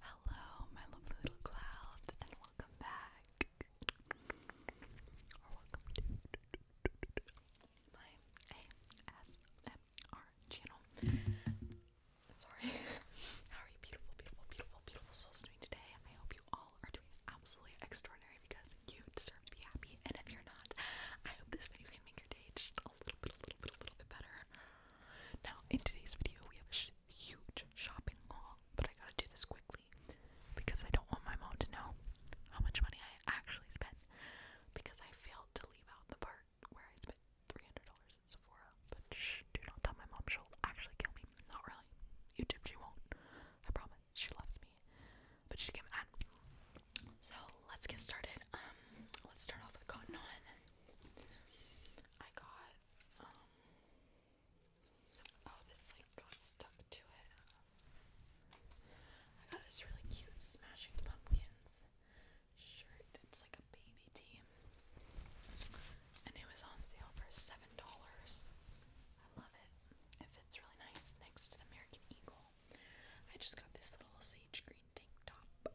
Hello, my lovely little clouds, and welcome back. Or welcome to my ASMR channel. Sorry. How are you, beautiful, beautiful, beautiful, beautiful souls doing today? I hope you all are doing absolutely extraordinary because you deserve to be happy. And if you're not, I hope this video can make your day just a little bit, a little bit, a little bit better. Now, in today's video, we have a huge shopping haul, but I gotta do this quickly because I don't want my mom to know how much money I actually spent because I failed to leave out the part where I spent $300 at Sephora. But shh, do not tell my mom, she'll actually kill me. Not really. YouTube, she won't. I promise. She loves me. But she can not mad. So let's get started. Um, let's start off with cotton on. I got um, oh, this like got stuck to it. I got this really cute Smashing Pumpkins shirt. It's like a baby tee, and it was on sale for seven dollars. I love it. It fits really nice next to American Eagle. I just got this little sage green tank top.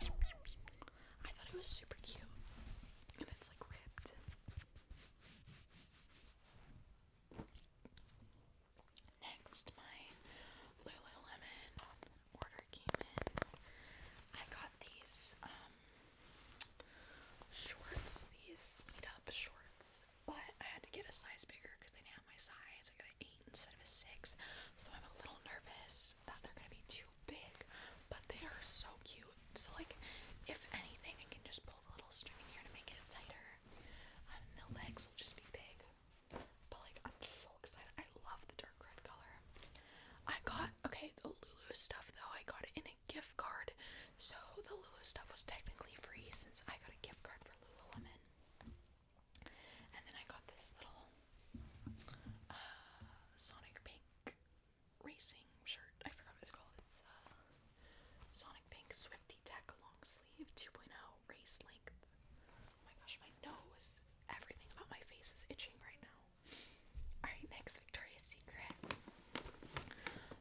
I thought it was super cute. And it's like ripped. Next, my Lululemon order came in. I got these um, shorts, these sleeved up shorts, but I had to get a size bigger because they did my size. I got an 8 instead of a 6, so I'm a little nervous that they're gonna be too big, but they are so cute. So like, if anything, I can just pull the little string in here to make it tighter. Um, and the legs will just be big. But like, I'm so excited. I love the dark red color. I got okay the Lulu stuff though. I got in a gift card, so the Lulu stuff was technically free since I got a gift card for Lululemon. And then I got this little uh, Sonic Pink racing shirt. I forgot what it's called. It's uh, Sonic Pink Swifty Tech long sleeve 2.0 race length. Oh my gosh, my nose. Everything about my face is itching right now. Alright, next Victoria's Secret.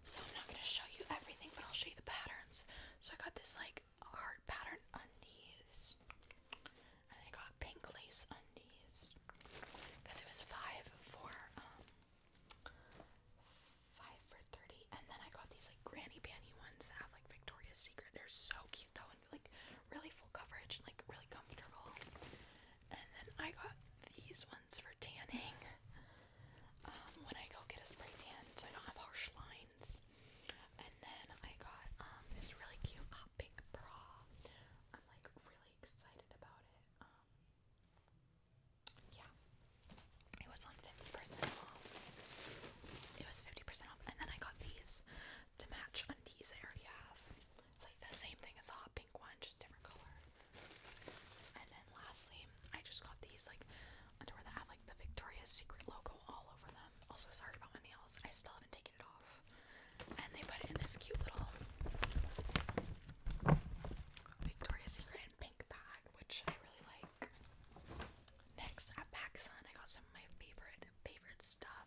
So I'm not gonna show you everything, but I'll show you the patterns. So I got this like heart pattern on these and I got pink lace undies because it was five for um five for thirty, and then I got these like granny panty ones that have like Victoria's Secret. They're so cute though, and like really full coverage like really comfortable. And then I got these ones for tanning. Um, when I go get a spray tan, so I don't have harsh lines. And then I got um, this really cute pink bra. Um, like really excited about it. Um, yeah, it was on 50% off. It was 50% off, and then I got these to match undies I already have. It's like the same thing as the hot pink one, just different color. And then lastly, I just got these like underwear that have like the Victoria's Secret logo all over them. Also, sorry about my nails. I still haven't taken and they put it in this cute little Victoria's Secret and pink bag, which I really like. Next at PacSun, I got some of my favorite, favorite stuff.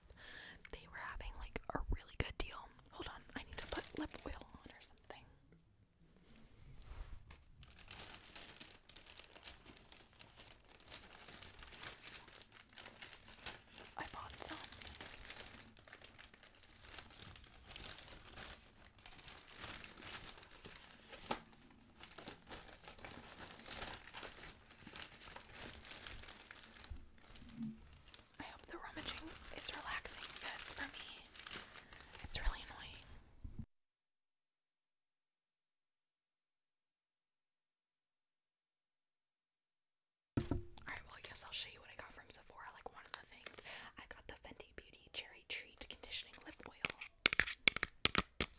They were having like a really good deal. Hold on, I need to put lip oil on or something. I bought some. I hope the rummaging is relaxing because for me it's really annoying. Alright, well I guess I'll show you what I got from Sephora, like one of the things. I got the Fenty Beauty Cherry Treat Conditioning Lip Oil.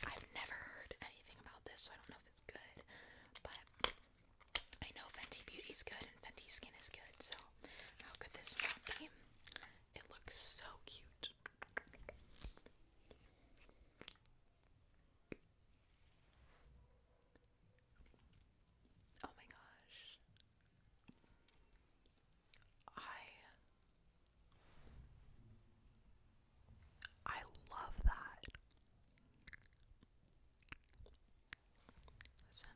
I've never heard anything about this, so I don't know if it's good, but I know Fenty Beauty's good and Fenty Skin is good, so how could this not be? It looks so cute. Oh my gosh. I I love that. Listen.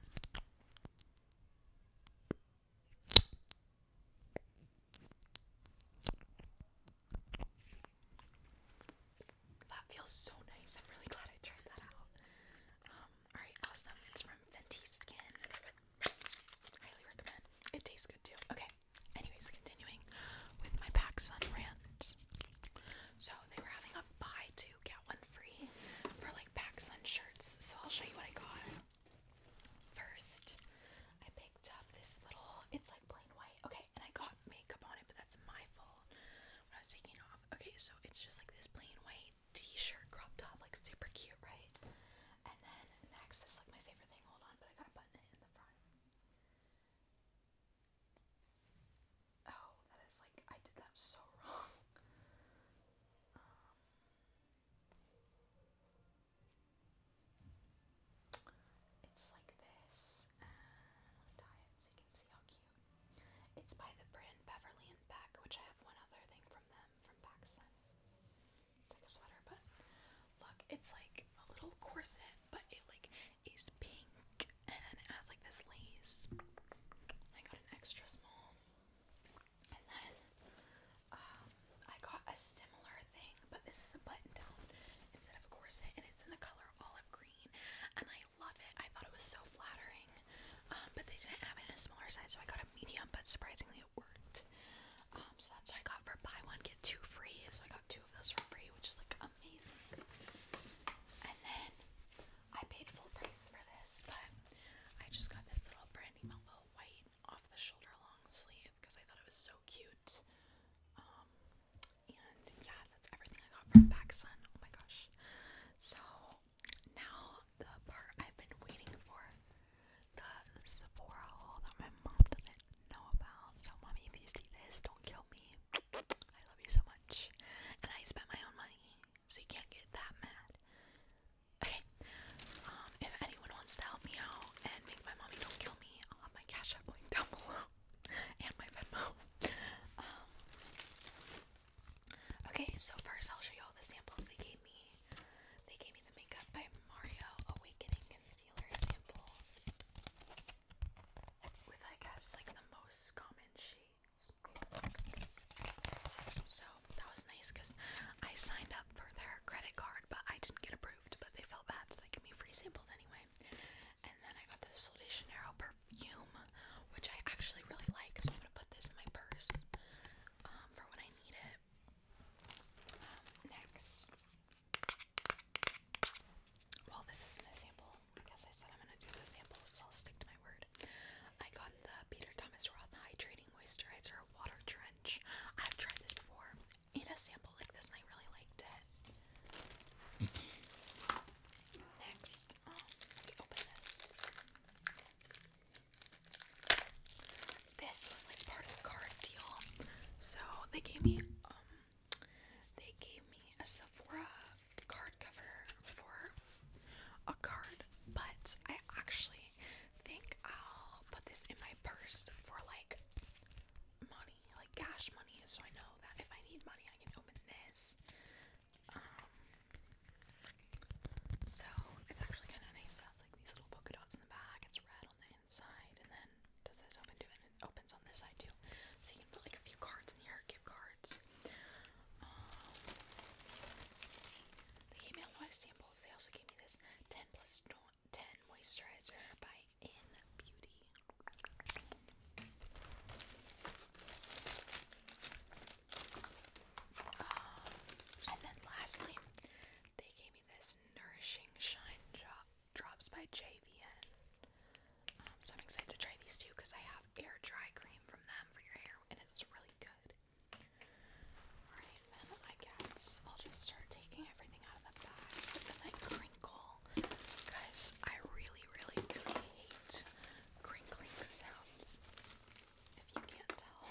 That feels so nice. I'm really glad I tried that out. Um, alright, awesome. It's from Fenty Skin. Highly recommend. It tastes good too. Okay. Anyways, continuing with my back sun rant. So they were having a buy two get one free for like back sun shirts. So I'll show you what I got. First, I picked up this little it's like plain white. Okay okay, and I got makeup on it, but that's my fault when I was taking off. Okay, so it's just like this plain white t-shirt crop top, like super cute, right? And then next is like my favorite thing. Hold on, but I gotta button in the front. Oh, that is like I did that so wrong. Um, it's like this. And uh, let me tie it so you can see how cute it's by the brand Beverly and Beck, which I have one other thing from them from Paxson. It's like a sweater, but look, it's like a little corset, but it like is pink and it has like this lace. I got an extra small. And then um, I got a similar thing, but this is a button down instead of a corset, and it's in the color olive green. And I I love it. I thought it was so flattering. Um, but they didn't have it in a smaller size, so I got a medium, but surprisingly it worked. Um, so that's what I got for buy one, get two free. So I got two of those for free, which is like amazing. And then I paid full price for this, but I just got this little Brandy Melville white off the shoulder long sleeve because I thought it was so cute. Um, and yeah, that's everything I got from PacSun. Oh my gosh. So now the part I've been waiting for, the Sephora haul that my mom doesn't know about. So mommy, if you see this, don't kill me. I love you so much. And I spent my own money, so you can't get that mad. Okay. Um, if anyone wants to help me out and make my mommy don't kill me, I'll have my cash link down below and my Venmo. Um, okay, so first I'll show you all the samples they gave me. They gave me the Makeup by Mario Awakening Concealer samples. With, I guess, like the most common shades. So that was nice because I signed up for their credit card, but I didn't get approved. But they felt bad, so they gave me free samples anyway. And then I got this Sol Janeiro perfume, which I actually really like. So I'm gonna put this in my purse um, for when I need it. Um, next, well, this isn't a sample. I guess I said I'm gonna do the sample, so I'll stick to my word. I got the Peter Thomas Roth Hydrating Moisturizer Water Trench. I've tried this before in a sample like this, and I really liked it. Next, oh, open this. This was like part of the card deal. So they gave me um, they gave me a Sephora card cover for a card, but I actually think I'll put this in my purse for like money, like cash money, so I know that if I need money, I can open this. Um, so it's actually kind of nice. It has like these little polka dots in the back. It's red on the inside, and then does this open too, and it opens on this side too. So you can put like a few cards in here, gift cards. Um, they gave me a lot of samples. They also gave me this ten plus. 10 moisturizer by In Beauty. Um, and then lastly, they gave me this Nourishing Shine Drops by JVN. Um, so I'm excited to try these two because I have air dry cream from them for your hair and it's really good. Alright, then I guess I'll just start taking everything out of the bags because I really, really, really hate crinkling sounds. If you can't tell.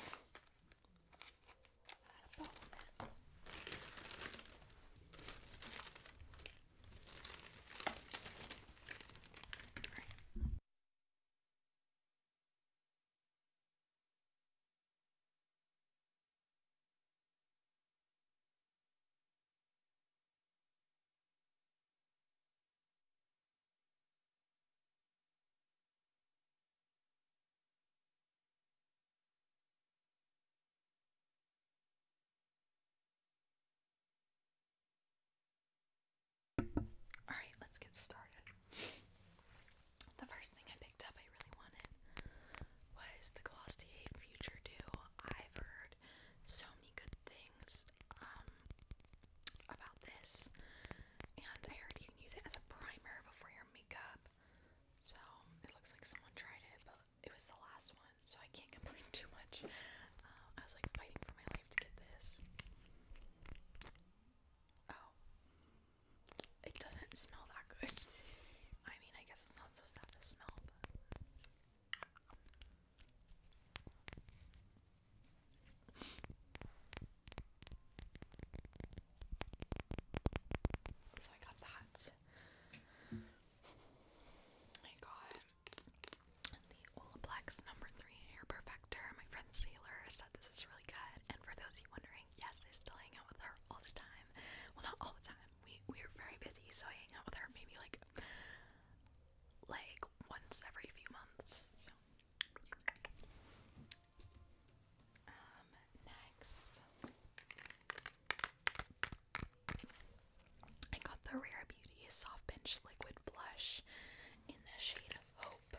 All right, let's get started. The first thing I picked up I really wanted was the Glossier Future Dew. I've heard so many good things um, about this, and I heard you can use it as a primer before your makeup. So it looks like someone tried it, but it was the last one, so I can't complain too much. Um, I was like fighting for my life to get this. Oh, it doesn't smell that good. I mean, I guess it's not supposed to smell, so I got that. I got the Olaplex number three hair perfector. My friend Sailor said this is really good. And for those you wondering, yes, I still hang out with her all the time. Well, not all the time. We we are very busy, so I hang out with her maybe like like once every few months. So. Um, next, I got the Rare Beauty Soft Pinch Liquid Blush in the shade Hope.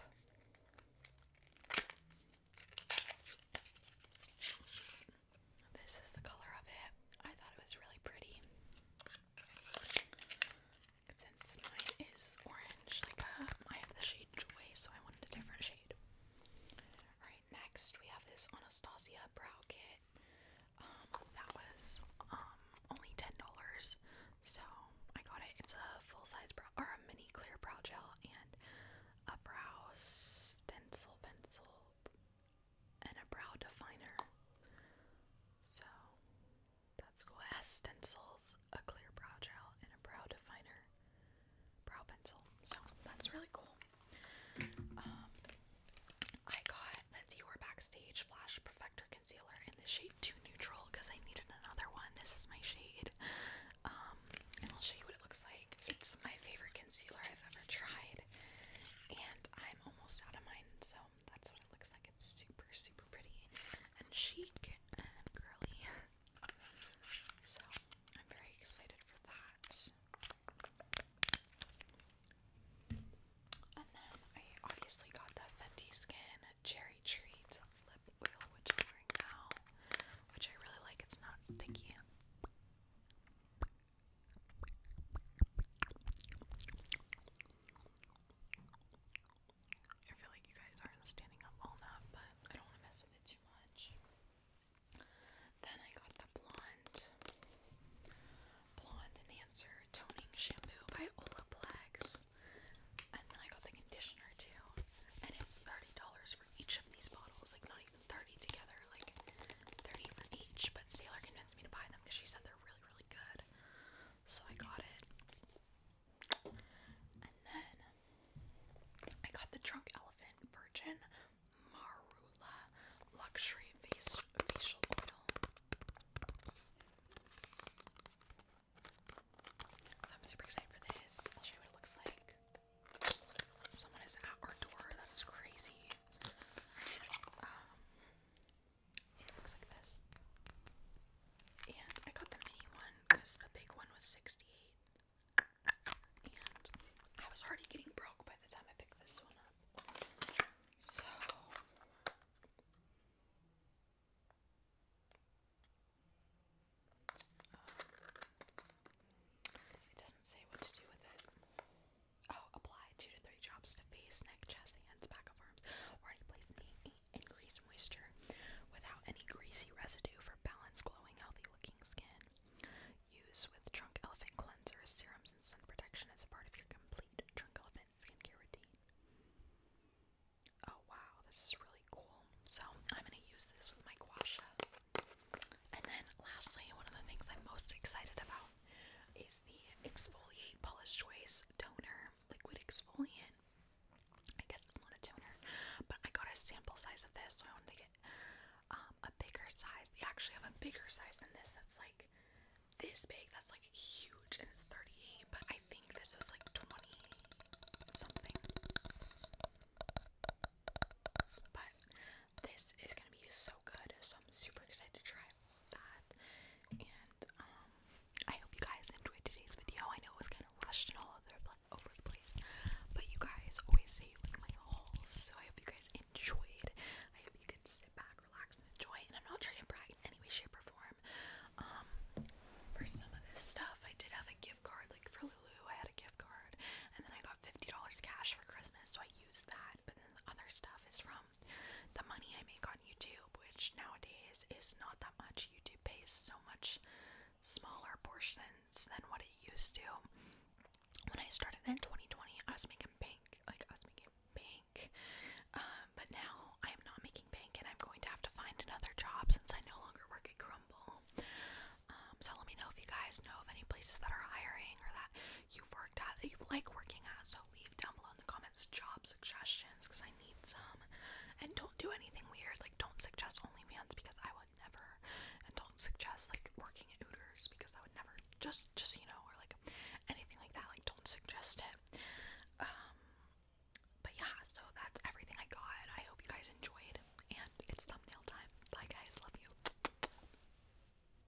This is the color of it. I thought it was really pretty. Since mine is orange, like uh, I have the shade Joy, so I wanted a different shade. Alright, next we have this Anastasia Brow Kit. Um, that was um only ten dollars, so I got it. It's a full size brow or a mini clear brow gel and a brow stencil pencil and a brow definer. So that's cool. It stencils, a clear brow gel, and a brow definer brow pencil. So that's really cool. Um, I got the Dior Backstage Flash Perfector Concealer in the shade 2 Neutral because I needed another one. This is my shade. Um, and I'll show you what it looks like. It's my favorite concealer I've ever tried. And I am I'm almost out of mine, so that's what it looks like. It's super, super pretty and chic and girly. so I'm very excited for that. And then I obviously got the Fenty Skin Cherry Treat lip oil, which I'm wearing now, which I really like. It's not sticky. I feel like you guys aren't standing up all night, but I don't want to mess with it too much. Then I got the blonde, blonde enhancer toning shampoo by Olaplex, and then I got the conditioner too. And it's thirty dollars for each of these bottles, like not even thirty together. Like 30 for each, but Sailor convinced me to buy them because she said they're really, really good. So I got it. And then I got the Drunk Elephant Virgin Marula Luxury Face Facial Oil. So I'm super excited for this. I'll show you what it looks like. Someone is at our door. That is crazy. Um, it looks like this. And I got the mini one because the big one was 68. And I was already getting broke by the time I picked this one up. So um, it doesn't say what to do with it. Oh, apply two to three drops to face, neck, chest, hands, back of arms, or any place needing increased moisture without any greasy residue for balanced, glowing, healthy-looking skin. Use with Trunk Elephant cleanser, serums, and sun protection as a part of your complete Trunk Elephant skincare routine. Oh wow, this is really cool. So I'm gonna use this with my guasha. And then lastly, one of the things I'm most excited about is the Exfoliate Paula's Choice Toner Liquid Exfoliant. I guess it's not a toner, but I got a sample size of this, so I wanted to get um, a bigger size. They actually have a bigger size than this that's like this big, that's like huge, and it's 38, but I think this was like 20 something. But this is gonna be so good, so I'm super excited to try all of that. And um, I hope you guys enjoyed today's video. I know it was kind of rushed and all over the place, but you guys always save like my hauls, so I hope you guys enjoyed. I hope you could sit back, relax, and enjoy. And I'm not trying to brag in any way, shape, or form. Um, for some of this stuff, I did have a gift card, like for Lulu, I had a gift card, and then I got fifty dollars cash for Christmas, so I used that. But then the other stuff is from the money I make on YouTube, which nowadays is not that much. YouTube pays so much smaller portions than what it used to. When I started in 2020, I was making bank, like I was making bank. Um, but now I am not making bank, and I'm going to have to find another job since I no longer work at Crumble. Um, so let me know if you guys know of any places that are hiring or that you've worked at, that you like working at. So leave down below in the comments job suggestions because I need some. And don't do anything weird. Like don't suggest OnlyFans because I would never. And don't suggest like working at Hooters because I would never. Just just you know, or like anything like that. Like don't suggest it. Um, but yeah, so that's everything I got. I hope you guys enjoyed and it's thumbnail time. Bye guys, love you.